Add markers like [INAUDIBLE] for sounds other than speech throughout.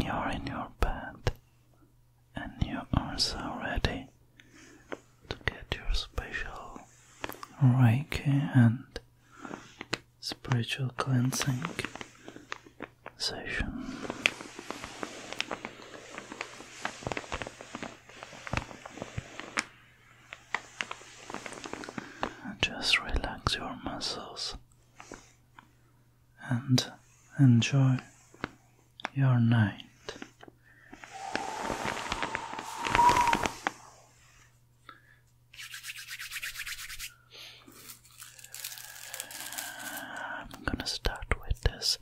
You're in your bed, and you are so ready to get your special Reiki and spiritual cleansing session. Just relax your muscles and enjoy your night. I'm gonna start with this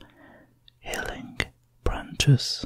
healing branches.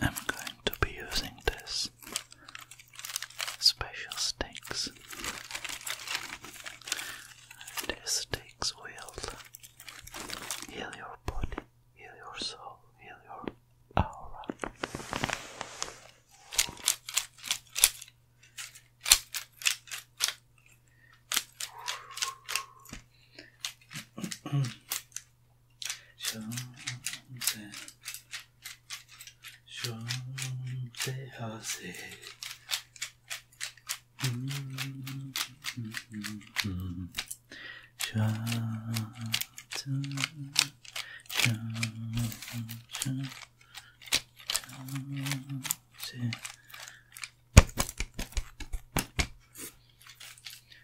I'm going to be using this special sticks. These sticks will heal your body, heal your soul, heal your aura. Shante, Shante Hase. Shante, Shante, Shante.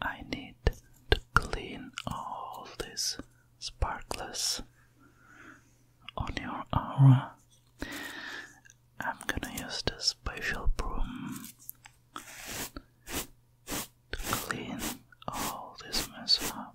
I need to clean all these sparklers on your aura. I'm gonna use the special broom to clean all this mess up.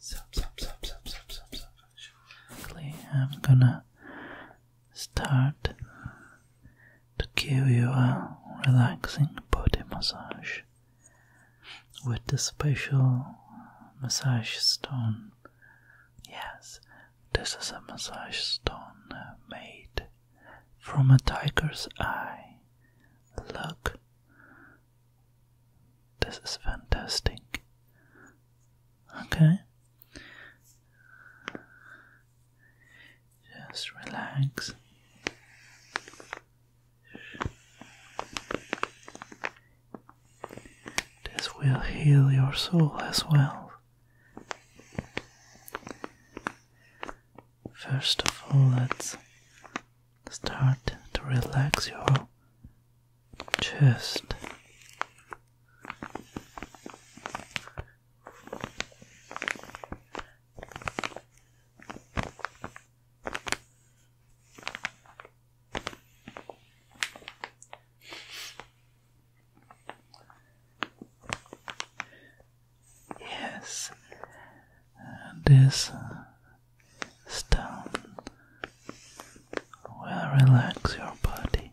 Sup, sup, sup, sup, sup, sup, sup. Actually, I'm gonna start to give you a relaxing body massage with the special massage stone. Yes, this is a massage stone uh, made from a tiger's eye. Look, this is fantastic. Okay. Just relax. This will heal your soul as well. First of all, let's start to relax your chest. Yes, this stone well, relax your body.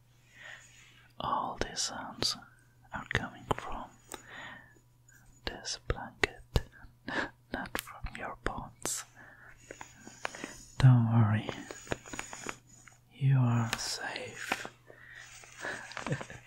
All these sounds are coming from this blanket, [LAUGHS] not from your bones. Don't worry, you are safe. [LAUGHS]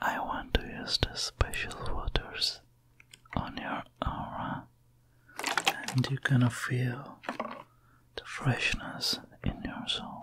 I want to use the special waters on your aura, and you're gonna feel the freshness in your soul.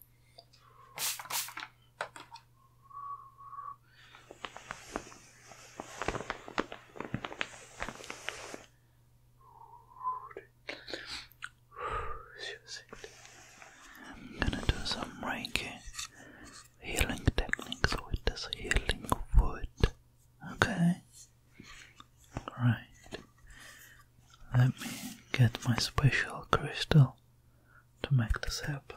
I'm gonna do some Reiki healing techniques with this healing wood. Okay. Right. Let me get my special crystal to make this happen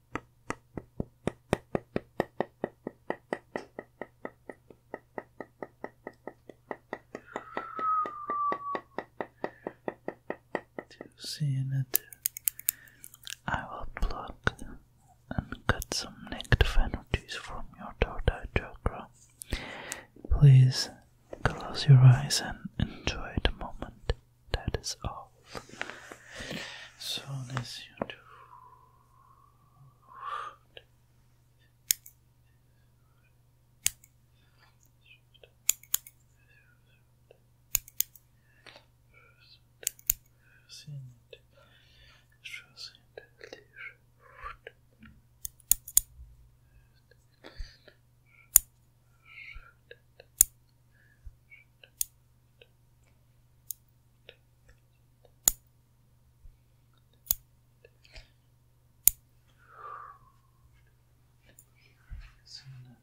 To see it, I will pluck and cut some negative energies from your third chakra. Please close your eyes and enjoy the moment that is all. So this you do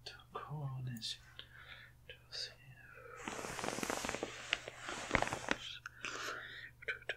to coordination to see to do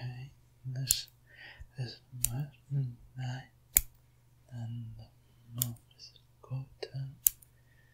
Okay, this is much night and the north is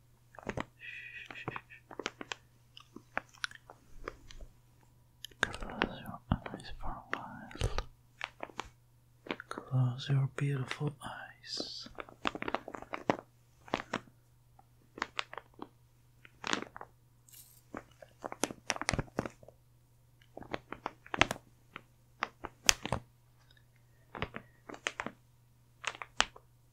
Close your eyes for a while. Close your beautiful eyes.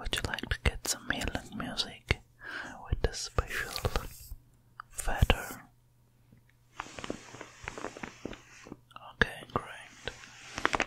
Would you like to get some healing music with a special feather? Okay, great.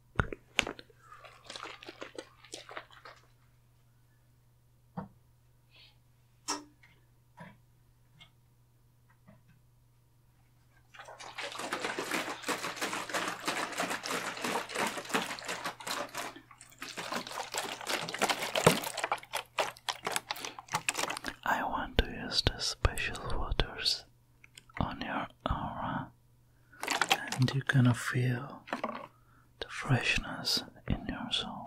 I want to use the special waters on your aura, and you gonna feel the freshness in your soul.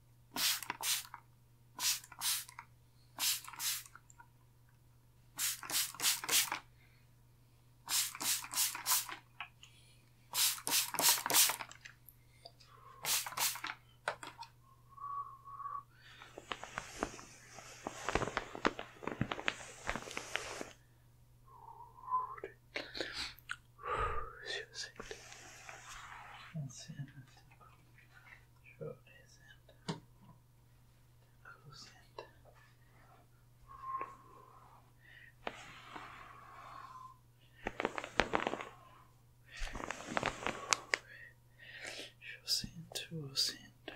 Let's see. Let's see. Sure isn't. Who's it? Who's it? Who's it?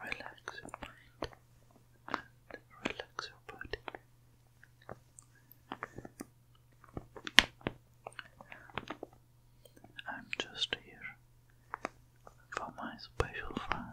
relax your mind and relax your body. I'm just here for my special friend.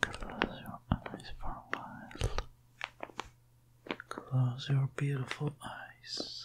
Close your eyes for a while. Close your beautiful eyes.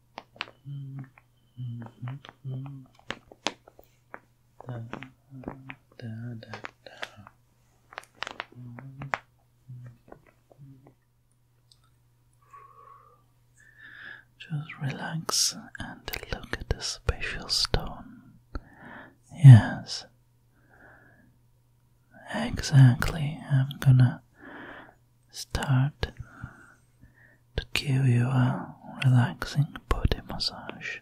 Just relax and look at the special stone. Yes, exactly. I'm gonna start to give you a relaxing body massage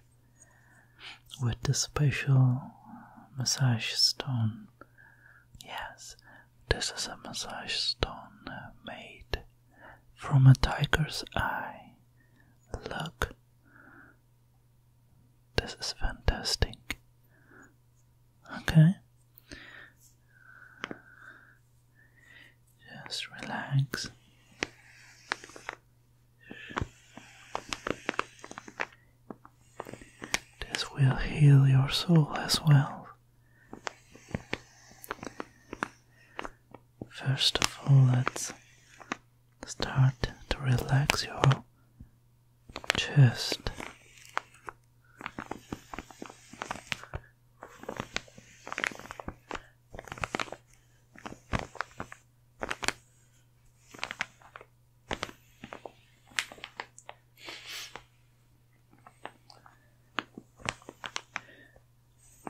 with this special massage stone. Yes, this is a massage stone made from a tiger's eye. Look, this is fantastic. Okay, just relax. This will heal your soul as well. First of all, let's start to relax your chest.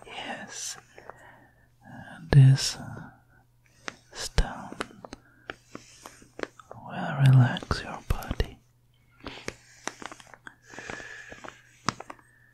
Yes, this uh, stone will relax your body.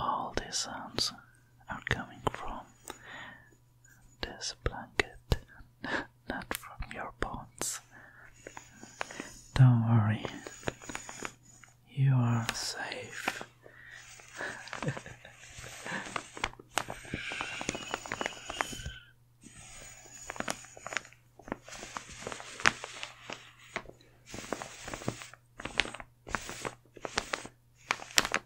All these sounds are coming from this blanket, [LAUGHS] not from your bones. Don't worry, you are safe. [LAUGHS]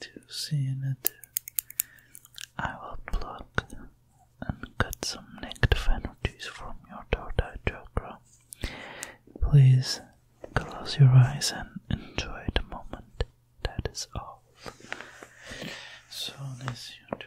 To see in I will pluck and cut some negative energies from your third chakra. Please close your eyes and enjoy the moment. That is all. So this you do.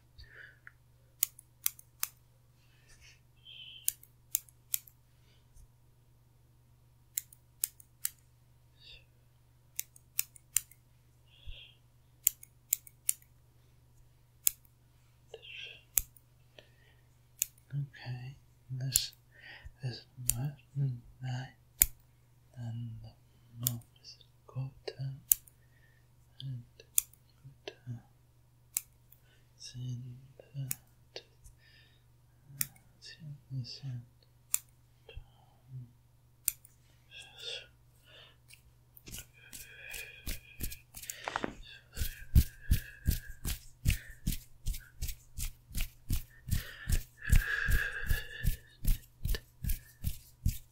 Okay, this is more than and the mouth is and put uh, send that uh, send send um,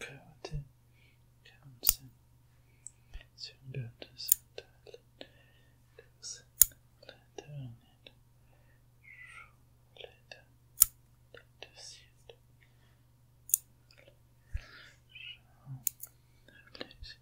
Okay, I did Townsend soon got to some talent. It was later on it. Later, later, see it. Later,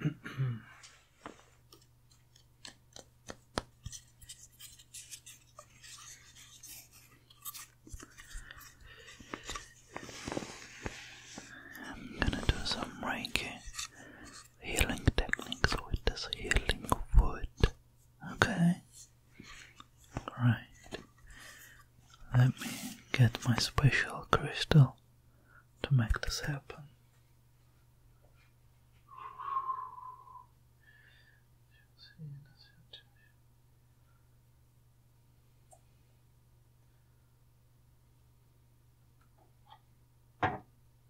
I'm gonna do some Reiki healing techniques with this healing wood. Okay. Right. Let me get my special crystal to make this happen.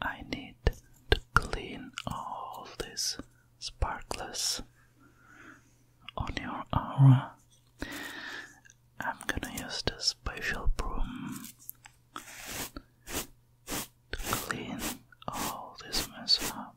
I need to clean all this sparklers on your aura. I'm gonna use the special broom to clean all this mess up.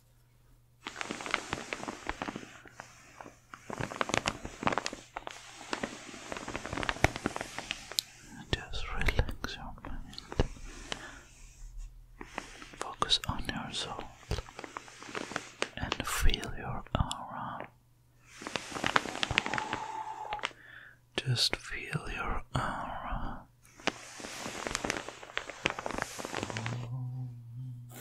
Just relax your mind. Focus on your soul and feel your aura. Just feel your aura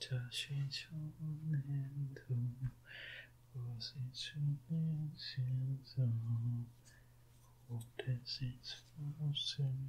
다시 전에도 무엇이 중요해서 오래지 않으면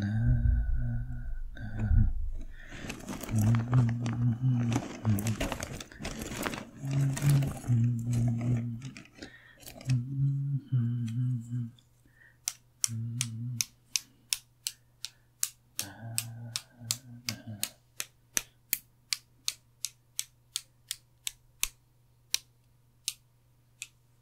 na, na. Mm -hmm. Mm -hmm. Mm -hmm. Na, na.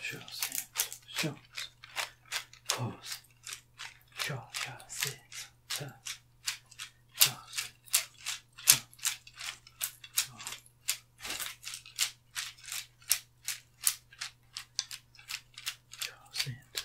Show six, shows, pose, show, show, six, turn, show, six, show, show. Shows into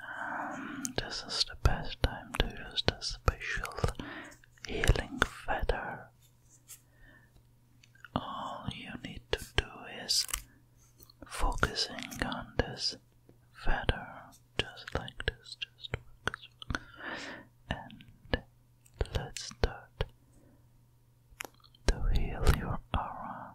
Um, this is the best time to use the special healing feather all you need to do is focusing on this feather, just like this, just focus, and let's start to heal your aura.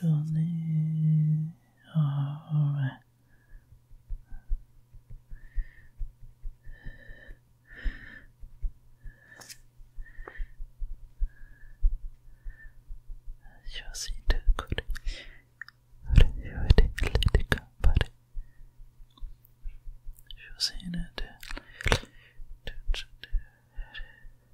Sunny. All ah, right. Just need it, let it go, buddy. Just need it.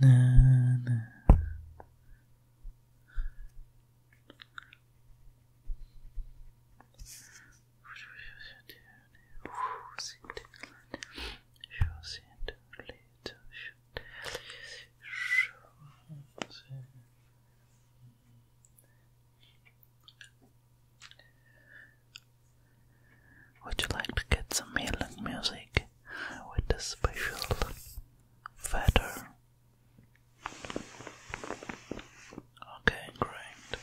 Na, na. Would you like to get some healing music with a special feather? Okay, great.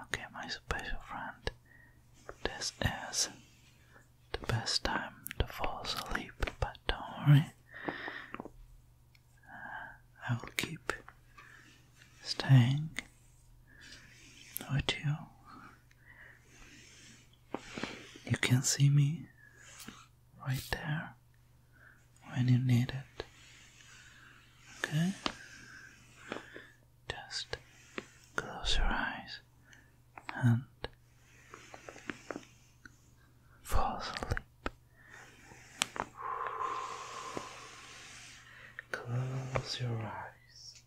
Okay, my special friend, this is the best time to fall asleep, but don't worry, uh, I will keep staying, would you? You can see me right there when you need it. Okay? Just close your eyes and fall asleep Close your eyes.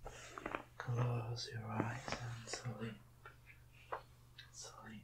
Close your eyes and sleep. Sleep.